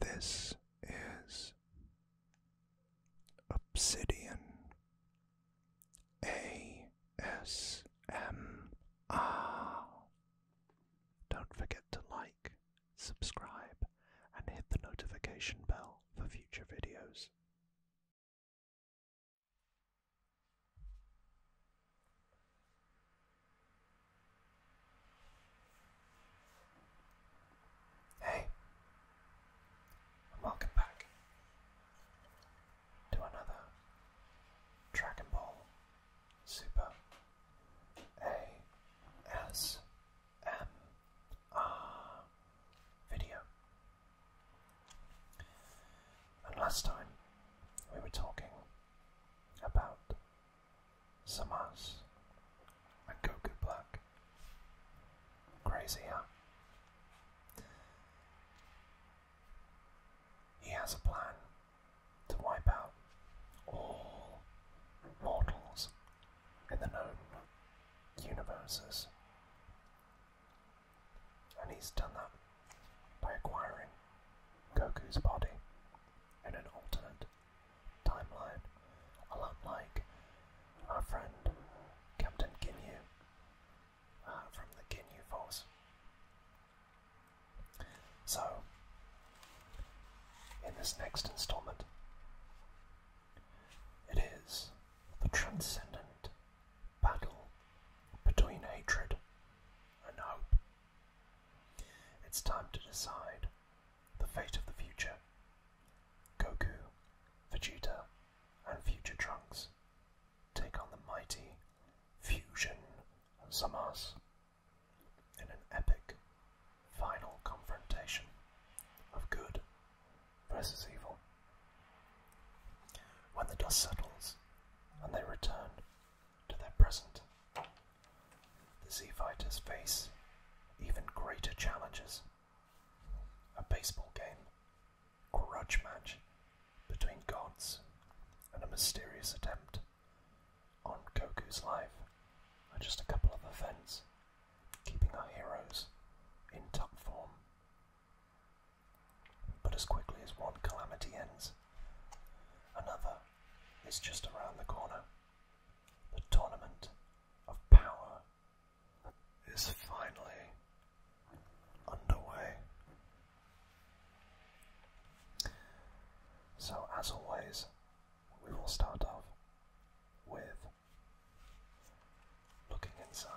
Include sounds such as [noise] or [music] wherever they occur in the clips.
This is Obsidian A S M R. Don't forget to like, subscribe, and hit the notification bell for future videos. Hey, and welcome back to another Dragon Ball Super ASMR video. And last time we were talking about Samas and Goku Black. Crazy, huh? He has a plan to wipe out all mortals in the known universes. And he's done that by acquiring Goku's body in an alternate timeline, a lot like our friend Captain Ginyu uh, from the Ginyu Force. So, in this next installment, it is the transcendent battle between hatred and hope. It's time to decide the fate of the future. Goku, Vegeta, and Future Trunks take on the mighty fusion of Zamas in an epic final confrontation of good versus evil. When the dust settles and they return to their present. The Z Fighters face even greater challenges. A baseball game, a grudge match between gods, and a mysterious attempt on Goku's life are just a couple of events keeping our heroes in top form. But as quickly as one calamity ends, Another is just around the corner. The tournament of power is finally underway. So, as always, we will start off with looking inside.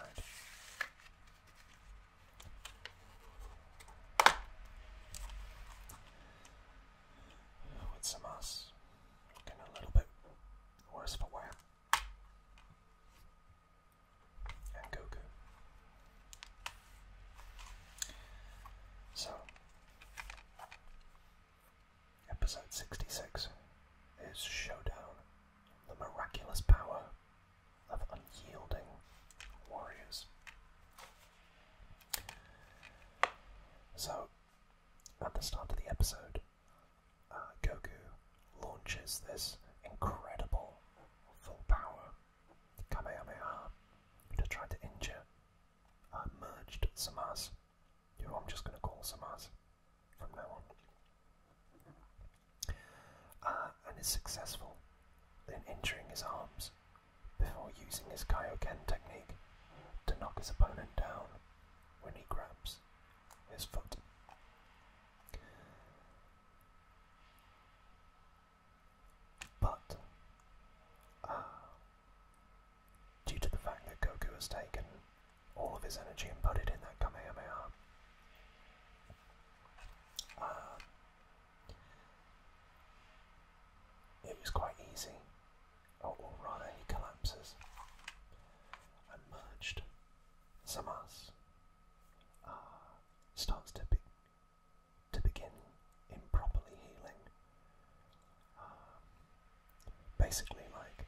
With some us looking a little bit worse for wear. And Goku. So, episode 66 is Showdown the Miraculous Power of unyielding warriors. So, at the start of the episode, uh, Goku launches this incredible full power Kamehameha to try to injure uh, merged Samas, who I'm just going to call Samas from now on, uh, and is successful in injuring his arms before using his Kaioken technique to knock his opponent down when he grabs his foot. But, uh, due to the fact that Goku has taken all of his energy and put it in that Kamehameha, uh, it was quite easy. Oh, or he collapses merged. Samas uh, starts to to begin improperly healing. Um, basically, like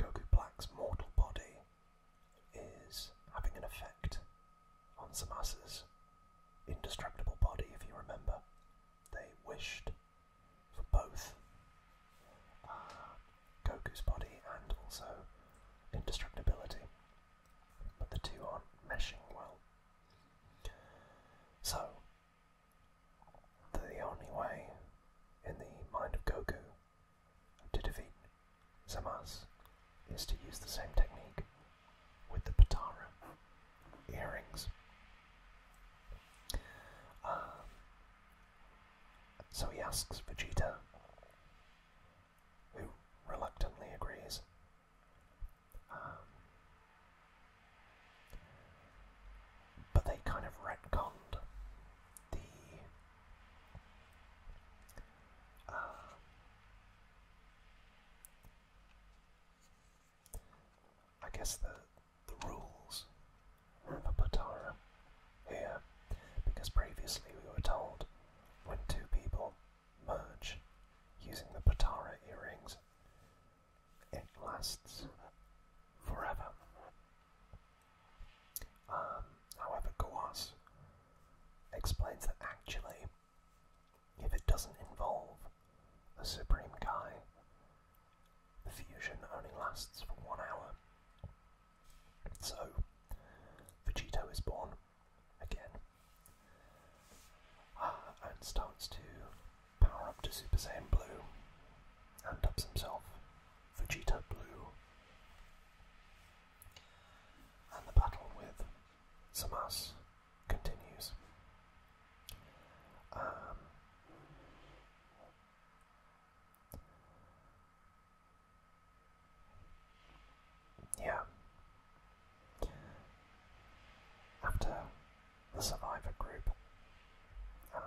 Goku Black's mortal body is having an effect on Samasa's indestructible body, if you remember. They wished for both uh, Goku's body and also indestructibility, but the two aren't meshing well. So, the only way in the mind of Goku to defeat Samaz is to use the same technique with the Patara earrings. Um, so he asks Vegeta, who reluctantly agrees. Um, but they kind of retconned the uh, I guess the the rules are of Patara here, because previously we were told when two people merge using the Patara earrings, it lasts forever. Um, however, Gawas explains that actually if it doesn't involve the Supreme Kai. The fusion only lasts for one hour. So, Vegeto is born again uh, and starts to power up to Super Saiyan Blue and dubs himself Vegeta Blue. And the battle with Samas continues. Um, yeah. After the survivor group, uh,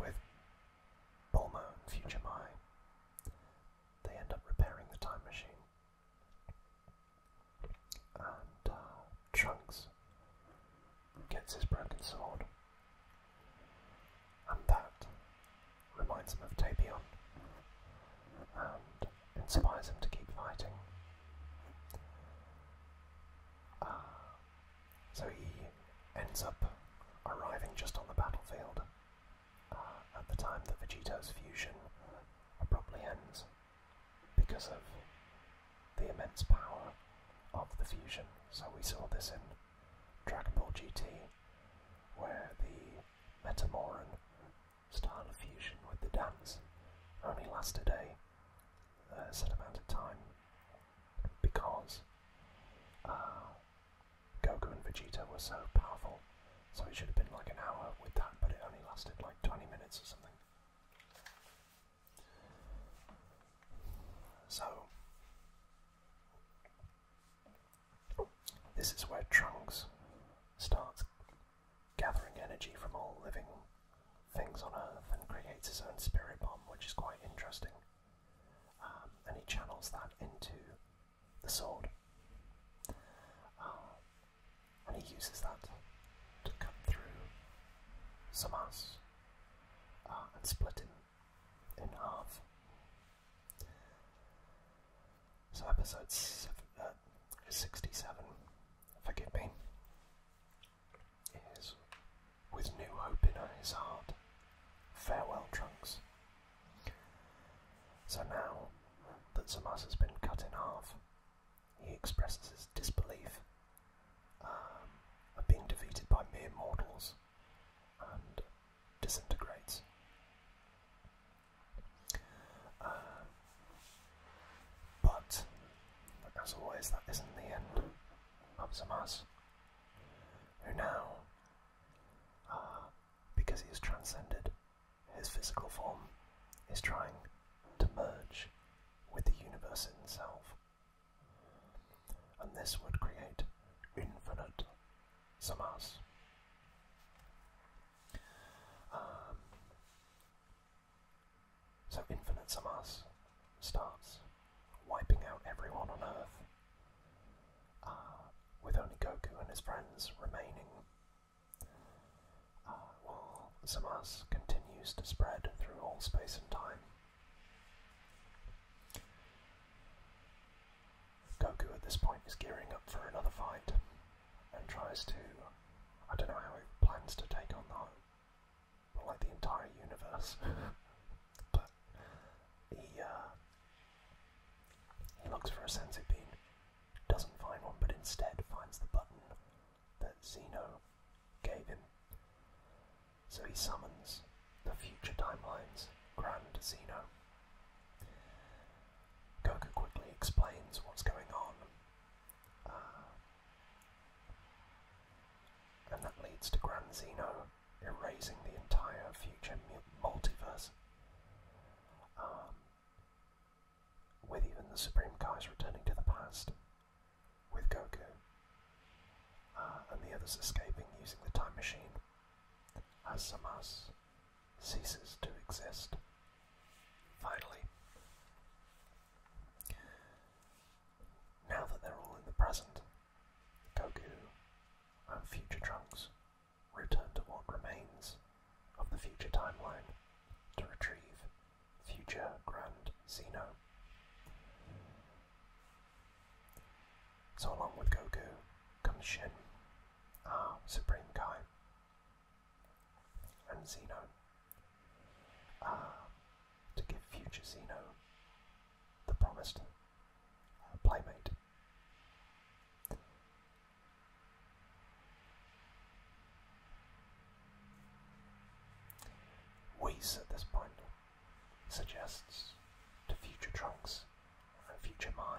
with Bulma and Future Mai, they end up repairing the time machine and uh, Trunks gets his broken sword. And that reminds him of Tapion and inspires him to keep fighting. Uh, so he ends up arriving just on the battlefield at the time that Vegeta's fusion abruptly ends because of the immense power of the fusion. So we saw this in Dragon Ball GT, where the Metamoran style of fusion with the dance only lasted a, a set amount of time because uh, Goku and Vegeta were so powerful so it should have been like an hour with that, but it only lasted like 20 minutes or something. So, this is where Trunks starts gathering energy from all living things on Earth and creates his own spirit bomb, which is quite interesting. Um, and he channels that into the sword. Um, and he uses that to cut through Samas uh, and split him in half. So, episode seven, uh, 67, forgive me, is with new hope in his heart. Farewell, Trunks, so now that Samas has been cut in half, he expresses his disbelief at um, being defeated by mere mortals and disintegrates. Um, but, as always, that isn't the end of Samas, who now, uh, because he has transcended his physical form is trying to merge with the universe itself. And this would create infinite samas. Um, so infinite samas starts wiping out everyone on Earth, uh, with only Goku and his friends remaining uh, while Zamas continues to spread through all space and time. Goku at this point is gearing up for another fight and tries to. I don't know how he plans to take on that. Well, like the entire universe. [laughs] but he, uh, he looks for a sensei bean doesn't find one, but instead finds the button that Zeno gave him. So he summons the future timeline's Grand Zeno. Goku quickly explains what's going on, uh, and that leads to Grand Zeno erasing the entire future multiverse. Um, with even the Supreme Kais returning to the past, with Goku, uh, and the others escaping using the time machine, as Samas ceases to exist. Finally, now that they're all in the present, Goku and future Trunks return to what remains of the future timeline to retrieve future Grand Xeno. So, along with Goku comes Shin, our Supreme Kai, and Xeno. Uh, to give future Xeno the promised uh, playmate Weiss at this point suggests to future Trunks and future Mai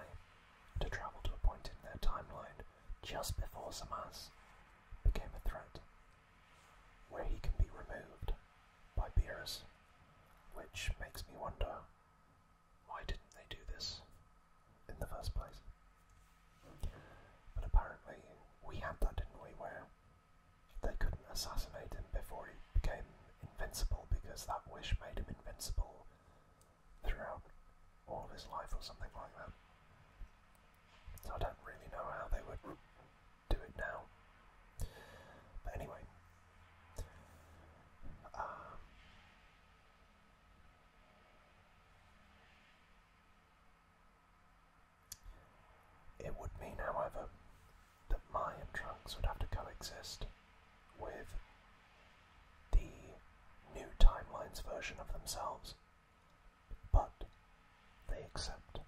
to travel to a point in their timeline just before Samus became a threat, where he can be removed by Beerus, which makes me wonder why didn't they do this in the first place? But apparently, we had that, didn't we? Where they couldn't assassinate him before he became invincible because that wish made him invincible throughout all of his life or something like that. So I don't really know how they would do it now. But anyway, uh, it would mean, however, that my and trunks would have to coexist with the new timeline's version of themselves, but they accept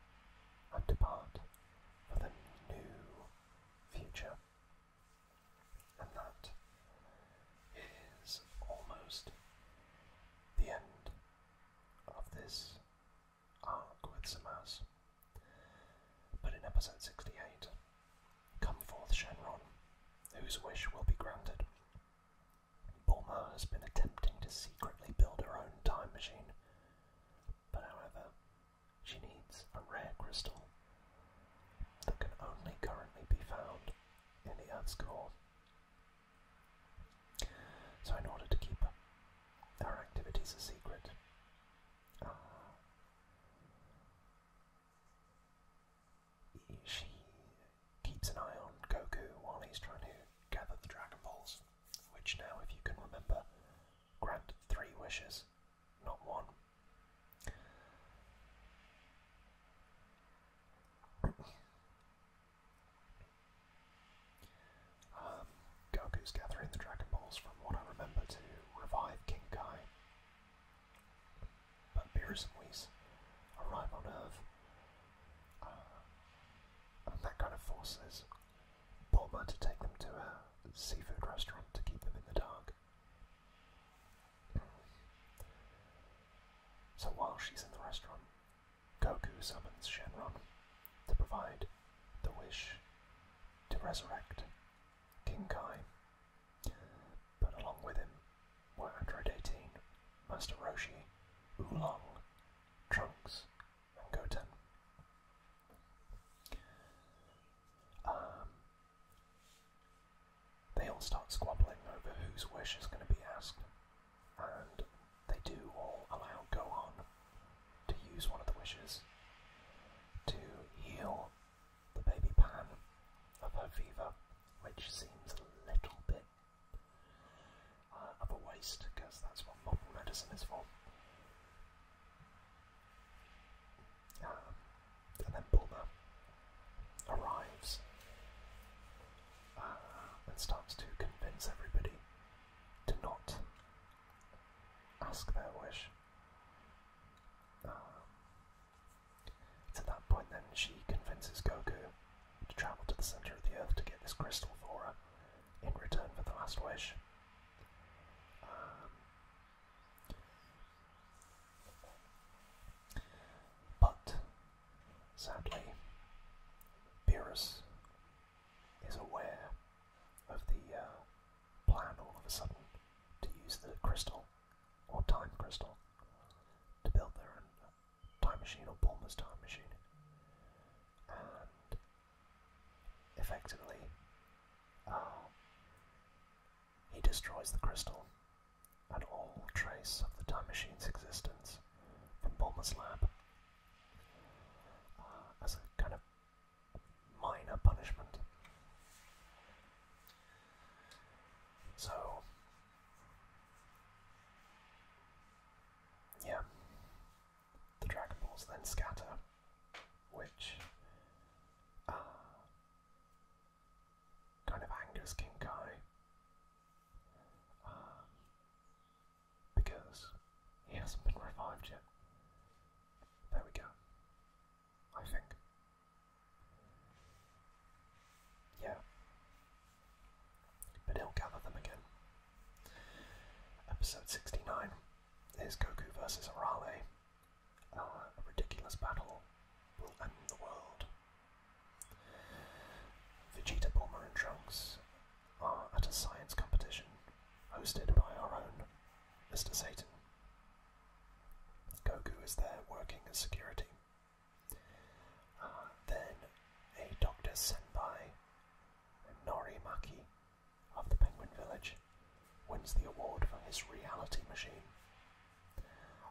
and depart for the new future and that is almost the end of this arc with Samas. But in episode 68, come forth Shenron, whose wish will be granted. Bulma has been attempting to secretly build her own time machine, but however, she needs a rare crystal that can only currently be found in the Earth's core. So, in order to keep our activities a secret, uh, she keeps an eye on Goku while he's trying to gather the Dragon Balls, which now, if you can remember, grant three wishes, not one. Um, Goku's gathering the Dragon Balls from what I remember to revive King Kai. But Beerus and Whis arrive on Earth. Uh, and that kind of forces Bulma to take them to a seafood restaurant to keep them in the dark. So while she's in the restaurant, Goku summons Shenron to provide the wish to resurrect King Kai. But along with him were Android 18, Master Roshi, Oolong, Trunks, and Goten. Um, they all start squabbling over whose wish is going to be asked, and they do all allow go on to use one of the wishes to heal the baby Pan of her fever, which seems a little bit uh, of a waste because that's what modern medicine is for. Um, and then Bulma arrives uh, and starts to convince everybody to not ask their wish. Um, that point then she convinces Goku to travel to the center of the earth to get this crystal for her in return for the last wish. Um, but sadly, Beerus is aware of the uh, plan all of a sudden to use the crystal or time crystal to build their own uh, time machine or Bulma's time machine. And effectively, uh, he destroys the crystal and all trace of the time machine's existence from Bulma's lab. Uh, as a kind of minor punishment. So, yeah, the Dragon Balls then scatter, which uh, kind of angers King Kai um, because he hasn't been revived yet. There we go. I think. Yeah. But he'll gather them again. Episode 69 is Goku versus Arale. Our ridiculous battle will end the world. Vegeta, Bulma, and Trunks are at a science competition hosted by our own Mr. Satan. Goku is there working as security. Uh, then a Dr. Senpai, Norimaki of the Penguin Village, wins the award for his reality machine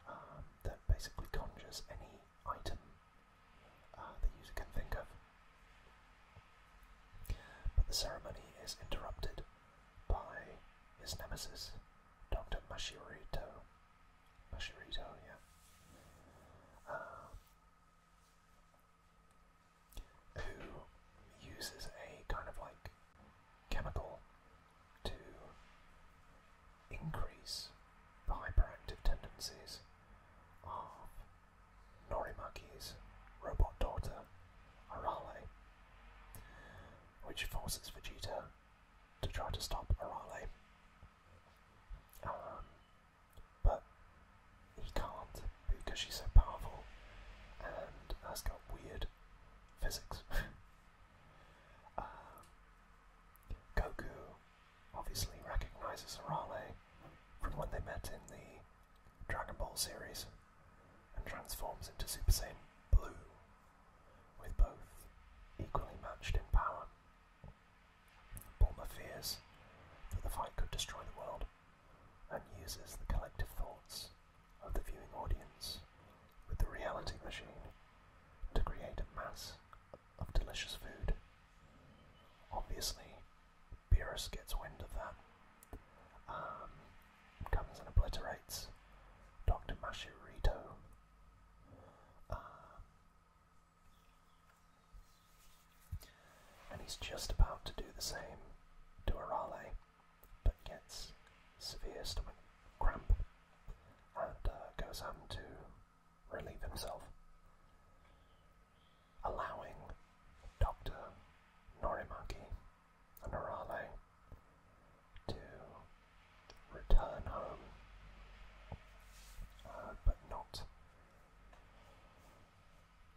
um, that basically conjures any item uh, the user can think of. But the ceremony is interrupted by his nemesis, Dr. Mashirito. Mashirito, yeah. Um, who uses a kind of like chemical to increase the hyperactive tendencies of Norimaki's robot daughter, Arale, which forces Vegeta to try to stop Arale. Um, but he can't because she's so powerful and has got weird physics. [laughs] Uh, Goku obviously recognizes Raleigh from when they met in the Dragon Ball series and transforms into Super Saiyan Blue, with both equally matched in power. Bulma fears that the fight could destroy the world and uses the collective thoughts of the viewing audience with the reality machine to create a mass of delicious food. Obviously, Beerus gets wind of that, um, comes and obliterates Dr. Mashirito. Uh, and he's just about to do the same to Arale, but gets severe stomach cramp and uh, goes home to relieve himself, allowing Dr. Norimaki and Noralee to return home, uh, but not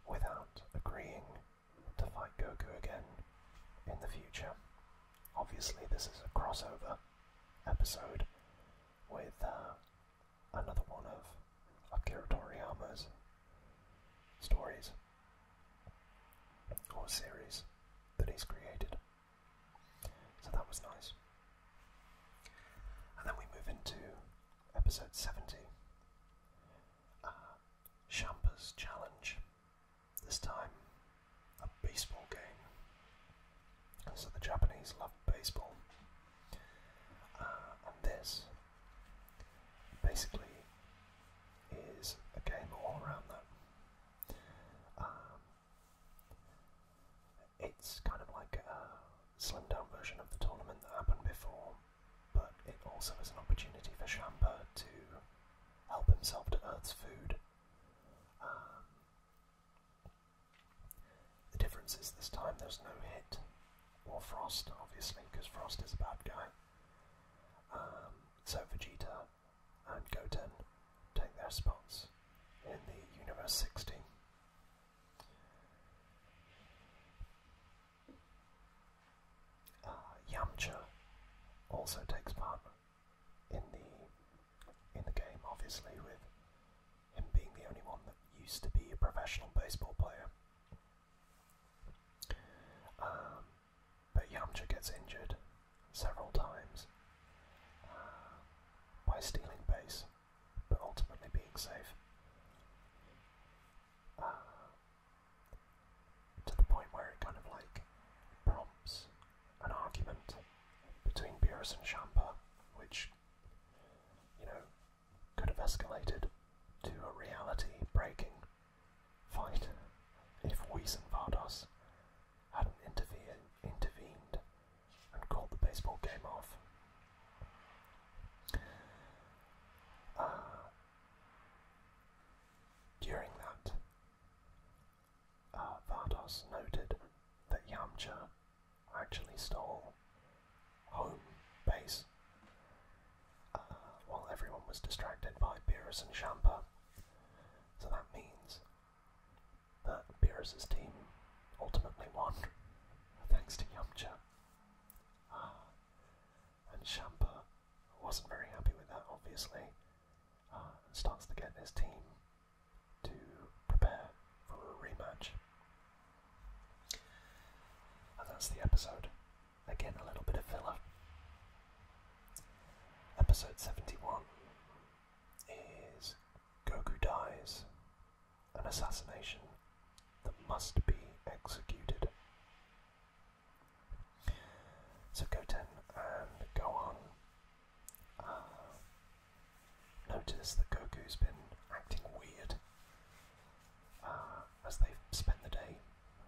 without agreeing to fight Goku again in the future. Obviously, this is a crossover episode with uh, another one of Akira Toriyama's stories or series that he's created. So that was nice. And then we move into episode 70 uh, Challenge. This time, a baseball game. So the Japanese love baseball. Uh, and this basically is a game all around that. Um, it's kind of like a slimmed down version of the tournament that happened before, but it also is an opportunity for Shampa to help himself to Earth's food the difference is this time there's no hit or frost, obviously, because frost is a bad guy. Um, so Vegeta and Goten take their spots in the Universe Sixteen. Uh, Yamcha also takes part in the in the game, obviously, with him being the only one that used to be a professional baseball player. Um, but Yamcha gets injured several times uh, by stealing base, but ultimately being safe. Uh, to the point where it kind of like prompts an argument between Beerus and Champa, which, you know, could have escalated to a reality breaking fight if Whis Vardos hadn't intervened and called the baseball game off. Uh, during that, uh, Vados noted that Yamcha actually stole home base uh, while everyone was distracted by Beerus and Shampa. So that means that Beerus's team ultimately won, [laughs] thanks to Yamcha. Uh, and Shampa wasn't very happy with that, obviously, and starts to get his team to prepare for a rematch. that's the episode. Again, a little bit of filler. Episode 71 is Goku Dies, an assassination that must be executed. So go Goten and go on notice that Goku's been acting weird uh, as they've spent the day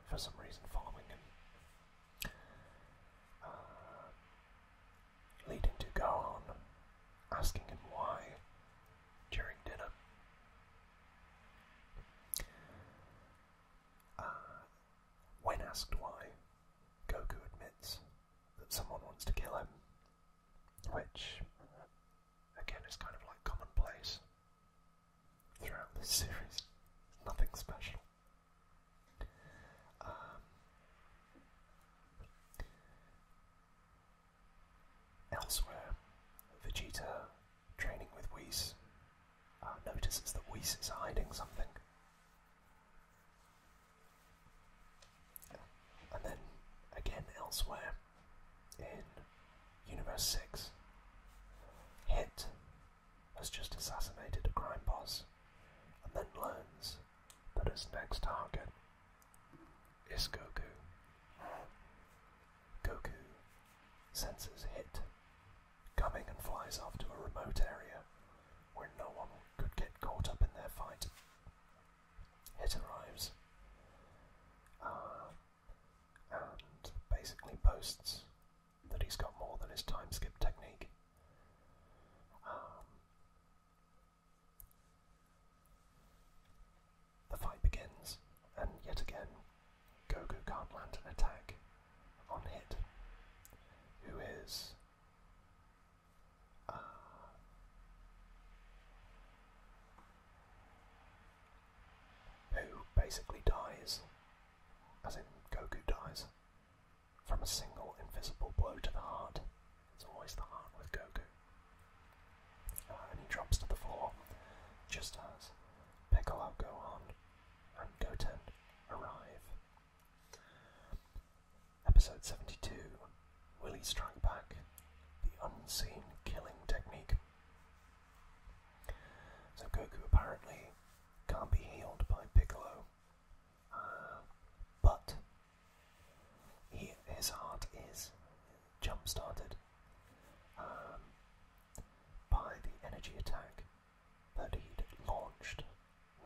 for some reason following him. Uh, leading to Gohan asking him why during dinner. Uh, when asked why, Goku admits that someone wants to kill him, which, again, is kind of like commonplace throughout this series. Nothing special. Um, elsewhere, Vegeta, training with Whis, uh, notices that Whis is hiding something and then again elsewhere in Universe 6, Hit has just assassinated a crime boss and then learns that his next target is Goku. Goku senses Hit coming and flies off to a remote area where no one could get caught up in their fight. It arrives uh, and basically boasts that he's got more than his time skip technique. Um, the fight begins, and yet again, Goku can't land an attack on Hit, who is uh, who basically dies, as in Goku dies, from a single invisible blow to the heart. It's always the heart with Goku. Uh, and he drops to the floor just as Piccolo, Gohan, and Goten arrive Episode 72 Willie Strike Back The Unseen Killing Technique. So Goku apparently can't be healed by Piccolo, uh, but his heart is jump started um, by the energy attack that he'd launched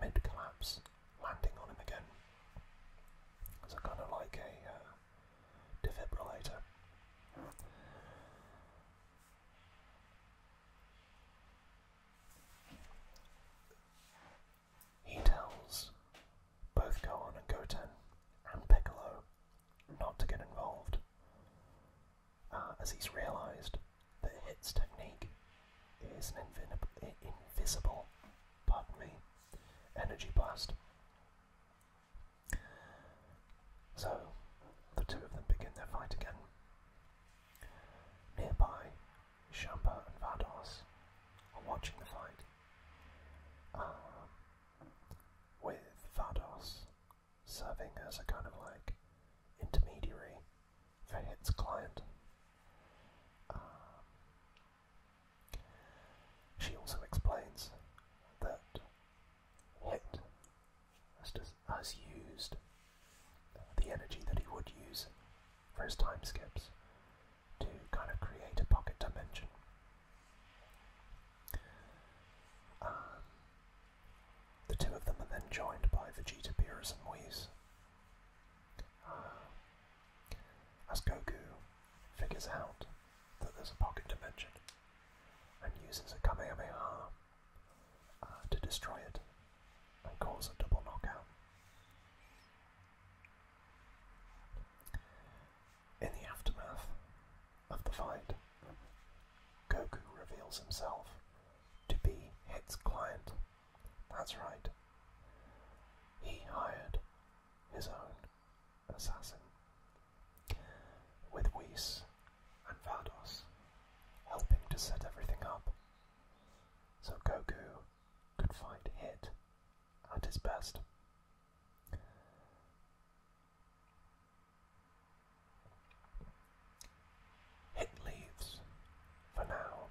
mid collapse, landing on him again. So, kind of like a uh, defibrillator. He tells both Gohan and Goten and Piccolo not to get involved, uh, as he's realised the hits technique is an invisible, pardon me, energy blast. So the two of them begin their fight again. Nearby, Shampa and Vados are watching the fight. Um, with Vados serving as a kind of like intermediary for Variance client. Um, she also explains that Hit has, used the energy that he would use for his time skips to kind of create a pocket dimension. Um, the two of them are then joined by Vegeta, Beerus, and Whis as Goku figures out that there's a pocket dimension and uses a Kamehameha uh, to destroy it and cause a double knockout. In the aftermath of the fight, Goku reveals himself to be Hit's client that's right. He hired his own assassin. With Whis and Vados helping to set everything up, so Goku could find Hit at his best. It leaves for now,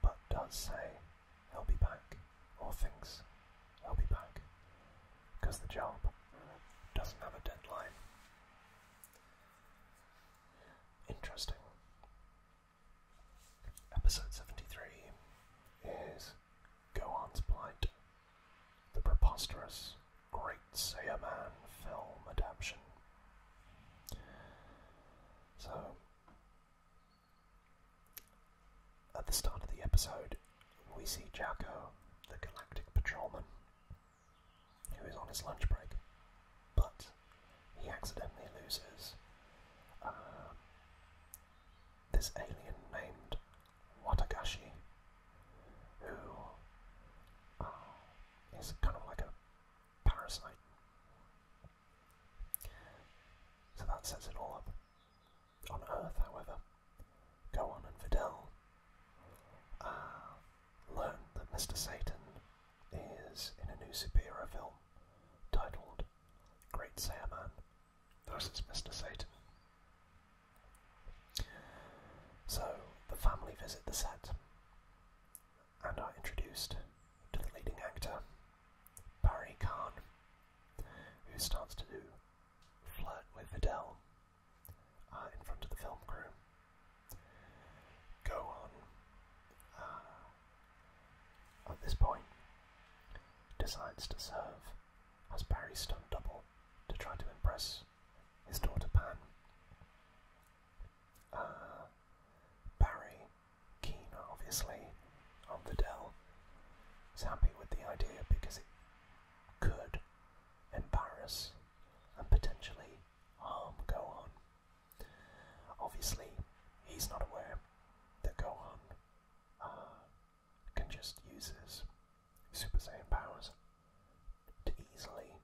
but does say he'll be back, or thinks he'll be back, because the job doesn't have a deadline. Interesting. Episode 73 is Go Gohan's Blight, the preposterous Great Saiyaman film adaptation so, at the start of the episode, we see Jacko, the galactic patrolman, who is on his lunch break, but he accidentally loses um, this alien named Watagashi, who uh, is kind of like a parasite. So that sets it all up. On Earth, however, Gohan and Videl uh, learn that Mr. Satan is in a new superhero film titled Great Saiyaman versus Mr. Satan. So the family visit the set and are introduced to the leading actor, Barry Khan, who starts to do flirt with Adele uh, in front of the film crew. Go on. Uh, at this point, decides to serve as Barry's stunt double to try to impress his daughter Pam. Uh, Barry, keen obviously on is happy with the idea because it could embarrass and potentially harm Gohan. Obviously, he's not aware that Gohan uh, can just use his Super Saiyan powers to easily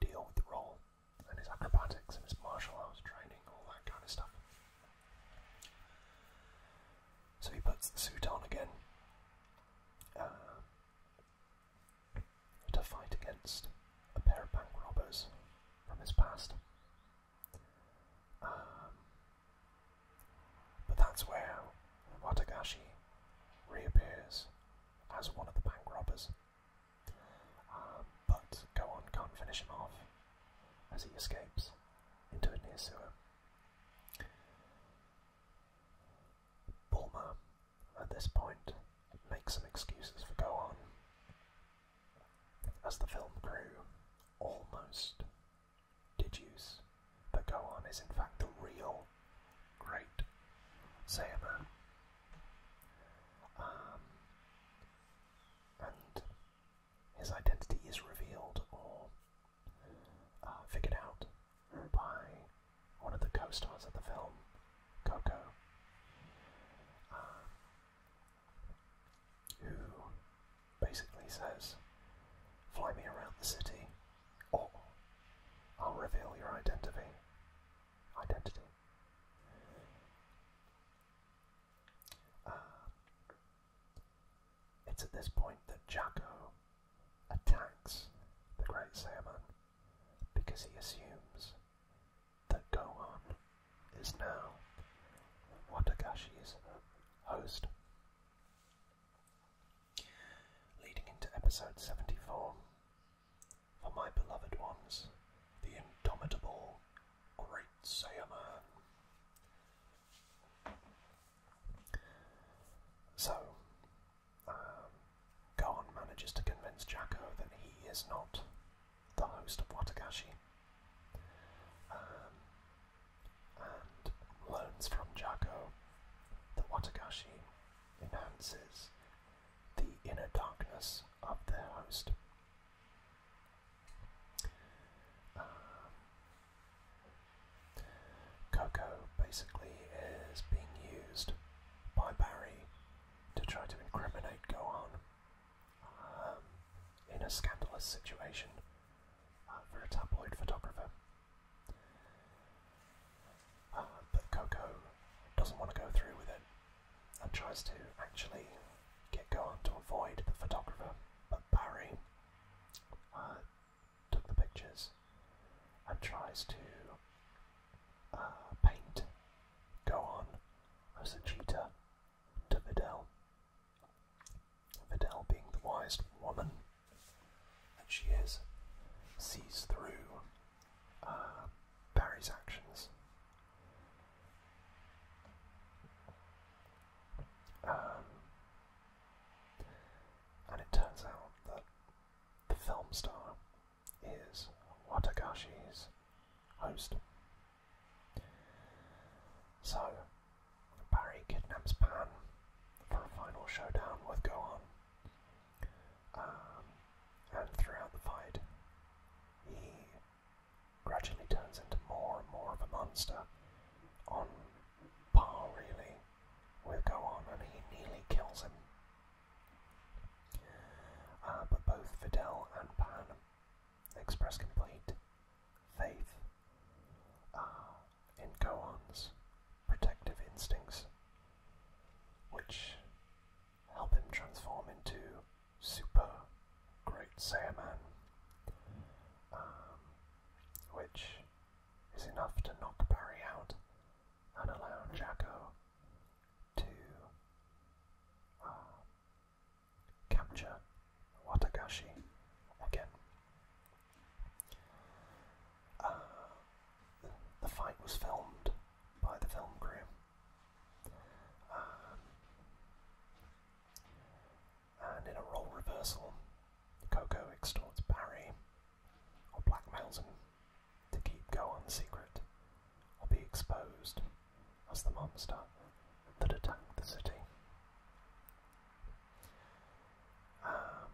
deal with the role and his acrobatics and his martial arts training, all that kind of stuff. So he puts the suit on again uh, to fight against a pair of bank robbers from his past. Um, but that's where Watagashi reappears as one of the bank robbers um, but Gohan can't finish him off as he escapes into a near sewer. Bulma, at this point, makes some excuses for Gohan. As the film crew almost did deduce that Gohan is in fact the real Great Saber. Um, and his identity is revealed or uh, figured out by one of the co-stars of the film, Coco, um, who basically says, "Fly me around the city, or I'll reveal your identity." Identity. Uh, it's at this point that Jacko attacks the Great Saiyaman because he assumes that Gohan is now Watagashi's host. Leading into episode 74, for my beloved ones, the indomitable Great man. So, um, manages to convince Jacko that he is not the host of Watagashi, um, and learns from Jacko the Watagashi enhances the inner darkness of their host. Um, Coco basically is being used by Barry to try to incriminate Gohan um, in a scandalous situation uh, for a tabloid photographer. Um, but Coco doesn't want to go through with it and tries to actually get on to avoid the photographer. But Barry uh, took the pictures and tries to uh, paint Go on as a cheater to Videl. Videl, being the wisest woman that she is, sees through um, Barry's actions. Um, and it turns out that the film star is Watagashi's host. So, Barry kidnaps Pan for a final showdown with Gohan um, and throughout the fight, he gradually turns into more and more of a monster, on par really with Gohan, and he nearly kills him. Uh, but both Videl and Pan express complete faith uh, in Gohan's protective instincts, which help him transform into Super Great Saiyaman, um, which is enough to knock Barry out and allow Jacko to uh, capture Watagashi again. Uh, the fight was filmed by the film crew. Um, and in a role reversal, Coco extorts Barry, or blackmails him, to keep go on secret, or be exposed as the monster that attacked the city. Um,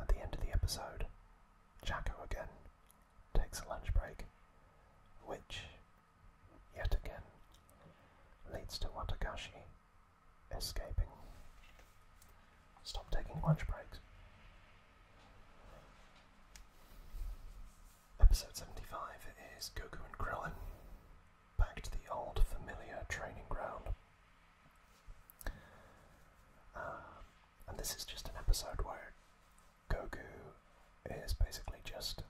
at the end of the episode, Jacko again takes a lunch break, which, yet again, leads to Watagashi escaping. Stop taking lunch breaks. Episode 75 is Goku and Krillin back to the old familiar training ground. Uh, and this is just an episode word. Goku is basically just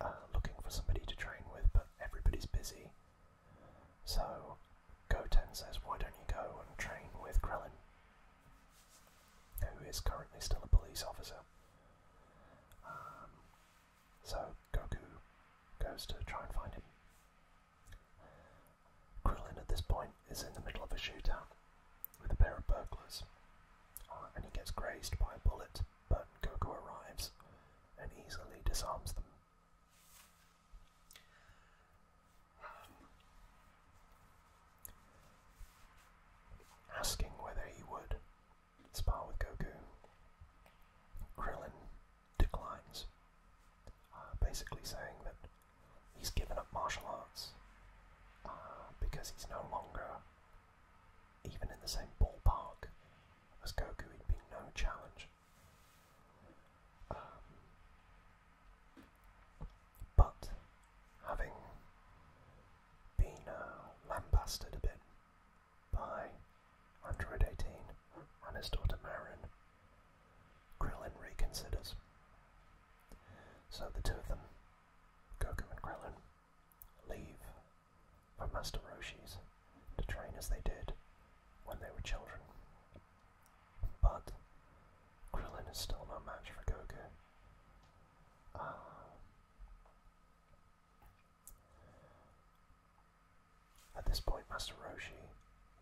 uh, looking for somebody to train with, but everybody's busy. So Goten says, Why don't you go and train with Krillin, who is currently still a police officer? Um, so Goku goes to try and find him. Krillin at this point is in the middle of a shootout with a pair of burglars, uh, and he gets grazed by a bullet, but Goku arrives and easily disarms them. Um, asking whether he would spar with Goku, Krillin declines, uh, basically saying that He's given up martial arts uh, because he's no longer even in the same ballpark as Goku. He'd be no challenge. Um, but having been uh, lambasted a bit by Android 18 and his daughter Marin, Krillin reconsiders. So the two of them, Goku and Krillin, leave for Master Roshi's to train as they did when they were children. But Krillin is still no match for Goku. Ah. at this point, Master Roshi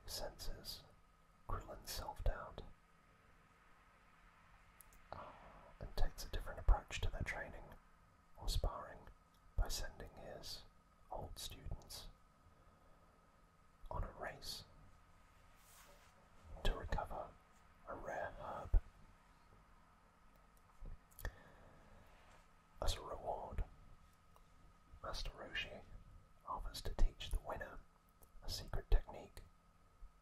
senses Krillin's self doubt and takes a different approach to their training or sparring by sending his old students on a race to recover a rare herb. As a reward, Master Roshi offers to teach the winner a secret technique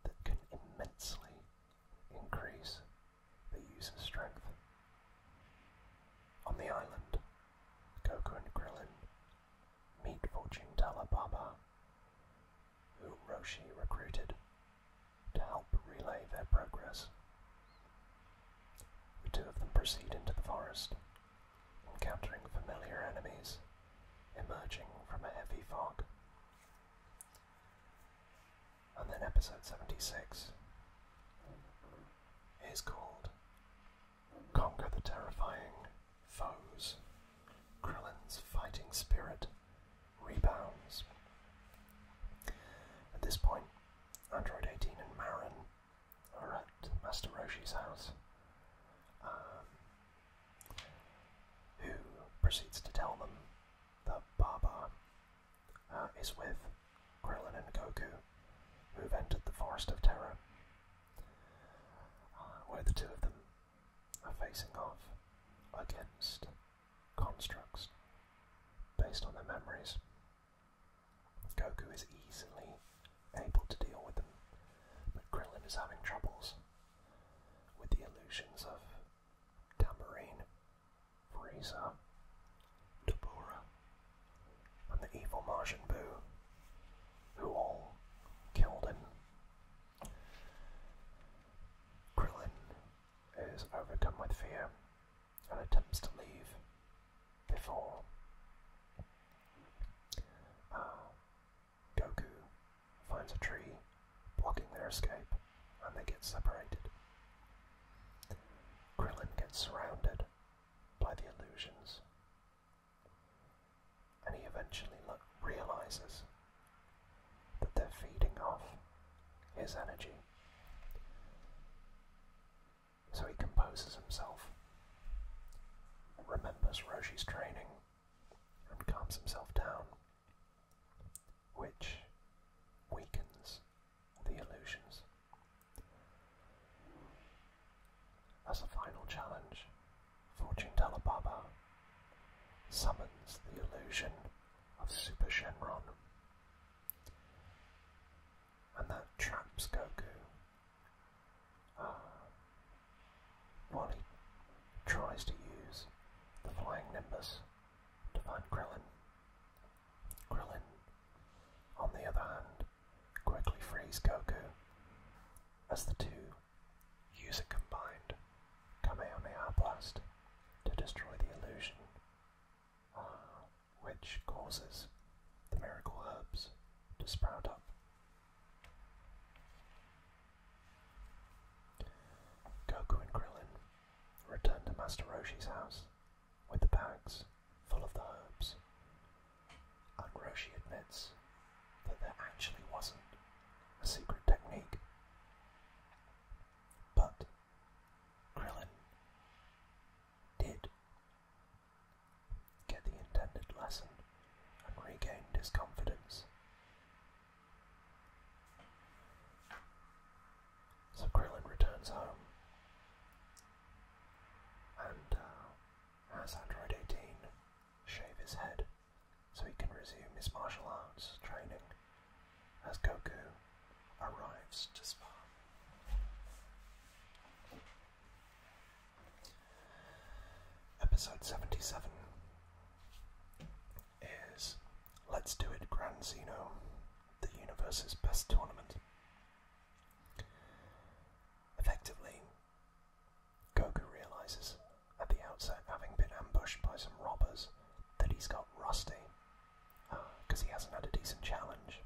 that can immensely increase the user's strength. On the island, Goku and Krillin meet fortune teller Baba, who Roshi recruited to help relay their progress. The two of them proceed into the forest, encountering familiar enemies emerging from a heavy fog. And then episode 76 is called Conquer the Terrifying Foes. Krillin's fighting spirit rebounds. At this point, Android 18 and Marin are at Master Roshi's house. Um, who proceeds to tell them that Baba uh, is with Krillin and Goku, who've entered the Forest of Terror, uh, where the two of them are facing off against constructs based on their memories. Goku is easily able to deal with them, but Krillin is having troubles with the illusions of Tamarine, Frieza, Tabora, and the evil Martian Boo, who all killed him. Krillin is overcome with fear and attempts to leave before uh, Goku finds a tree, blocking their escape, and they get separated. Krillin gets surrounded by the illusions, and he eventually realizes that they're feeding off his energy. So he composes himself, remembers Roshi's training, and calms himself down, which weakens the illusions. As a final challenge, fortune teller Baba summons the illusion of Super Shenron, and that traps Goku um, while he tries to use the flying nimbus to find Krillin. Krillin, on the other hand, quickly frees Goku as the two use a combined Kamehameha blast to destroy the illusion, uh, which causes the miracle herbs to sprout up Goku and Krillin return to Master Roshi's house with the bags full of the herbs, and Roshi admits that there actually wasn't a secret technique. But Krillin did get the intended lesson and regained his confidence. So Krillin returns home and uh, has Android 18 shave his head so he can resume his martial arts training as Goku arrives to Spa. Episode 77 is Let's Do It Grand Zeno, the universe's best tournament. Effectively, Goku realizes at the outset, having been ambushed by some robbers, that he's got rusty because uh, he hasn't had a decent challenge.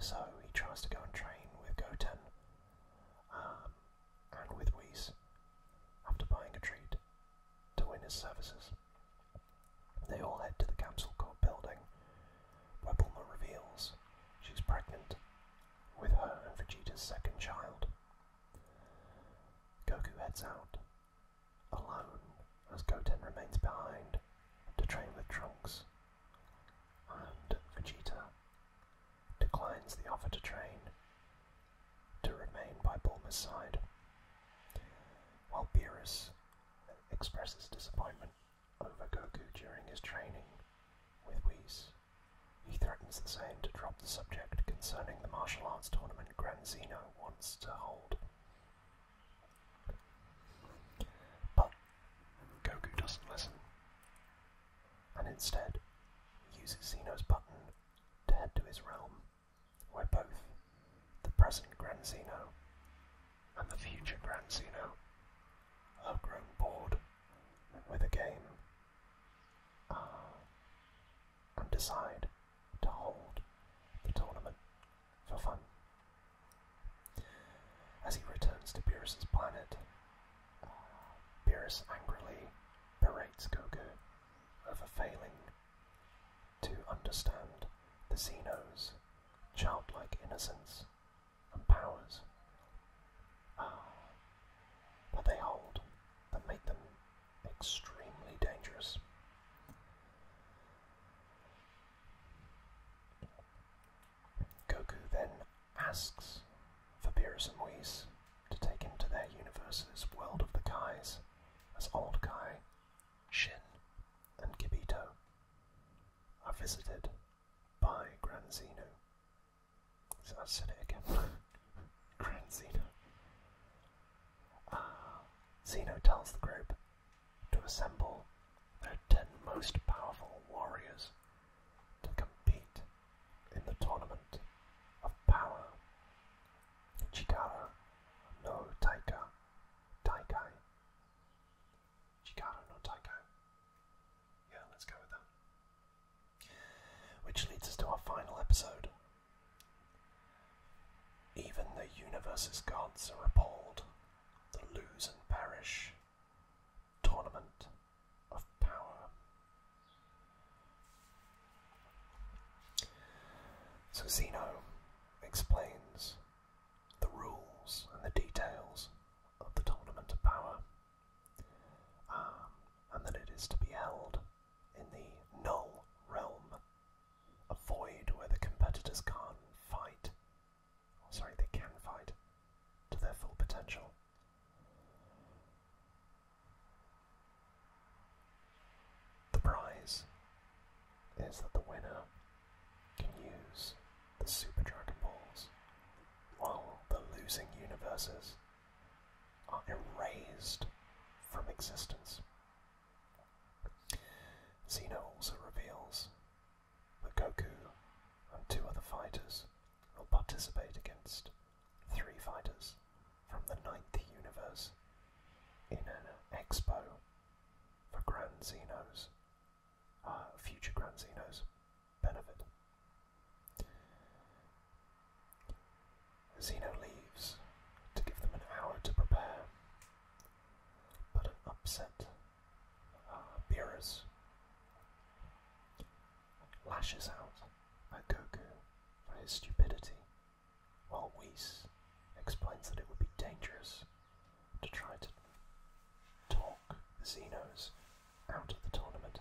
So he tries to go and train with Goten. Um, and with Weiss, after buying a treat, to win his services. They all head to the Council Court building, where reveals she's pregnant with her and Vegeta's second child. Goku heads out, alone, as Goten remains behind to train with Trunks. And Vegeta declines the offer to train to remain by Bulma's side, while Beerus expresses disappointment over Goku during his training with Whis. He threatens the same to drop the subject concerning the martial arts tournament Grand Zeno wants to hold. But Goku doesn't listen and instead uses Zeno's button to head to his realm, where both the present Grand Zeno and the future Grand Zeno are grown bored with the game uh, and decide to hold the tournament for fun. As he returns to Beerus's planet, uh, Beerus angrily berates Goku over failing to understand the Xenos' childlike innocence and powers uh, that they hold that make them extremely dangerous. Goku then asks for Beerus and wees to take him to their universe's world of the Kais as Old Kai, Shin, and Kibito are visited by Gran Zeno. So I said it again. [laughs] Gran Zeno. Ah, Zeno tells the group to assemble their ten most powerful warriors to compete in the tournament of power. Chikara no Taika Taikai. Chikara no Taikai. Yeah, let's go with that. Which leads us to our final episode. Even the universe's gods are appalled, the lose and perish tournament of power. So Zeno explains the rules and the details of the tournament of power, um, and that it is to be held in the null realm, a void where the competitors can't fight, or oh, sorry, they can fight to their full potential. The prize is that the winner can use the Super Dragon Balls while the losing universes are erased from existence. Xeno also reveals that Goku and two other fighters will participate against three fighters from the ninth universe in an expo for Grand Xenos, uh, future Grand Xenos benefit. Zeno leaves to give them an hour to prepare, but an upset uh, Beerus lashes out at Goku for his stupidity, while Whis explains that it would be dangerous to try to talk the Xenos out of the tournament.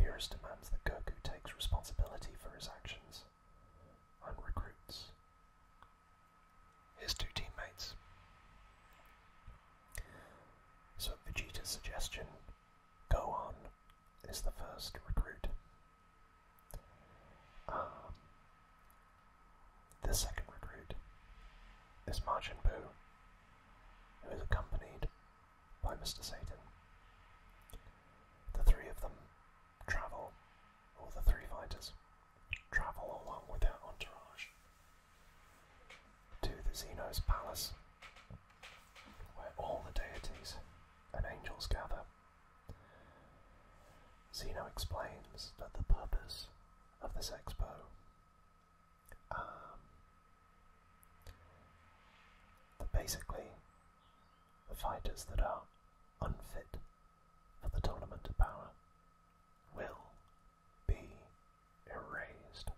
Beerus demands that Goku takes responsibility for his actions and recruits his two teammates. So, Vegeta's suggestion Go on, is the first recruit. Um, the second recruit is Majin Buu, who is accompanied by Mr. Satan. The three of them travel, or the three fighters travel along with their entourage to the Zeno's palace, where all the deities and angels gather. Zeno explains that the purpose of this expo um, that basically the fighters that are unfit for the tournament of power will be erased.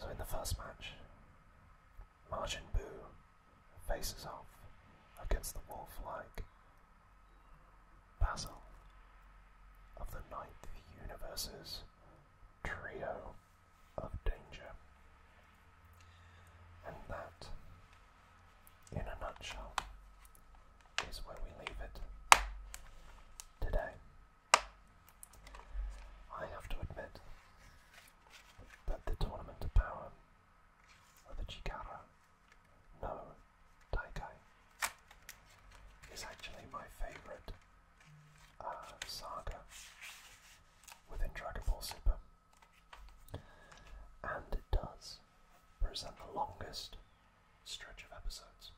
So in the first match, Majin Boo faces off against the wolf-like Basil of the Ninth Universe's Trio of Danger. And that, in a nutshell, is where we leave it today. I have to admit that the Tournament of Power of the Chikara no Taikai is actually my favourite uh, saga within Dragon Ball Super. And it does present the longest stretch of episodes.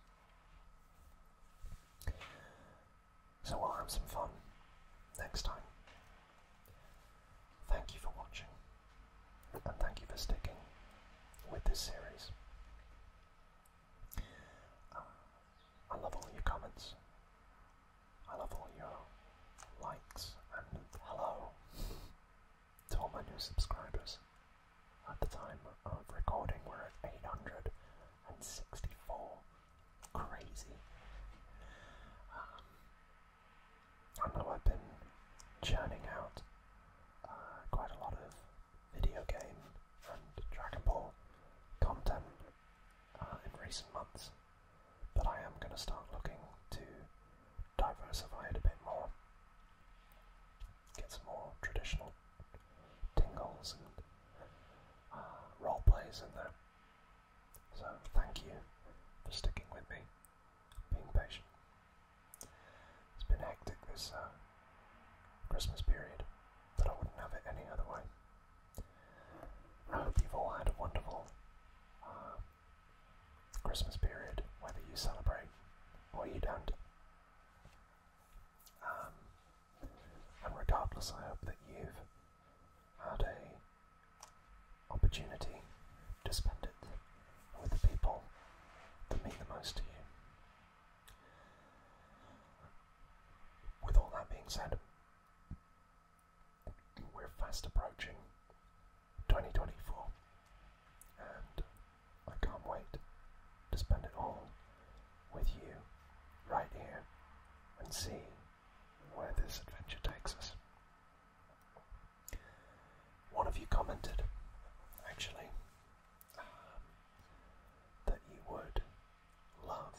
So we'll have some fun next time. Thank you for watching, and thank you for sticking with this series. Um, I love all your comments, I love all your likes, and hello to all my new subscribers. At the time of recording, we're at 864. Crazy. Um, I know I've been churning out uh, quite a lot of video game and Dragon Ball content uh, in recent months, but I am going to start looking to diversify it a bit more. Get some more traditional tingles and uh, role plays in there. So thank you for sticking with me, being patient. It's been hectic this uh, Christmas period, but I wouldn't have it any other way. I hope you've all had a wonderful uh, Christmas period, whether you celebrate or you don't. Um, and regardless, I hope that you've had a opportunity to spend it with the people that mean the most to you. With all that being said, we're fast approaching 2024, and I can't wait to spend it all with you right here and see where this adventure takes us. One of you commented, actually, um, that you would love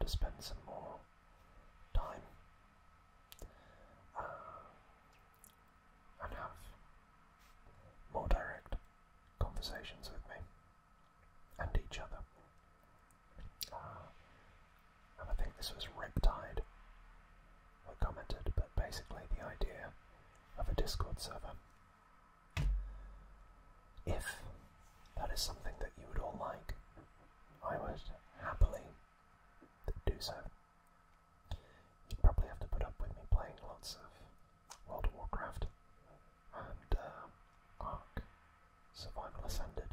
to spend some more time uh, and have more direct conversations with me and each other. Ah. and I think this was tied. who commented, but basically the idea of a Discord server. If that is something that you would all like, I would happily do so. you probably have to put up with me playing lots of World of Warcraft, and uh, Ark Survival Ascended.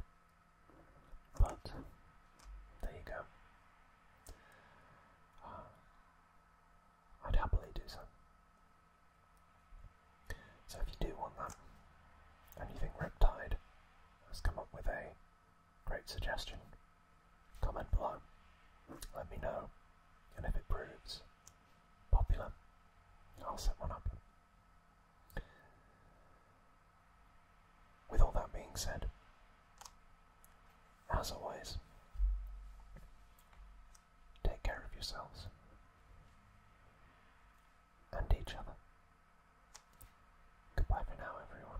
But there you go. Uh, I'd happily do so. So if you do want that, and you think Riptide has come up with a great suggestion, comment below, let me know, and if it proves popular. I'll set one up. With all that being said, as always, take care of yourselves and each other. Goodbye for now, everyone.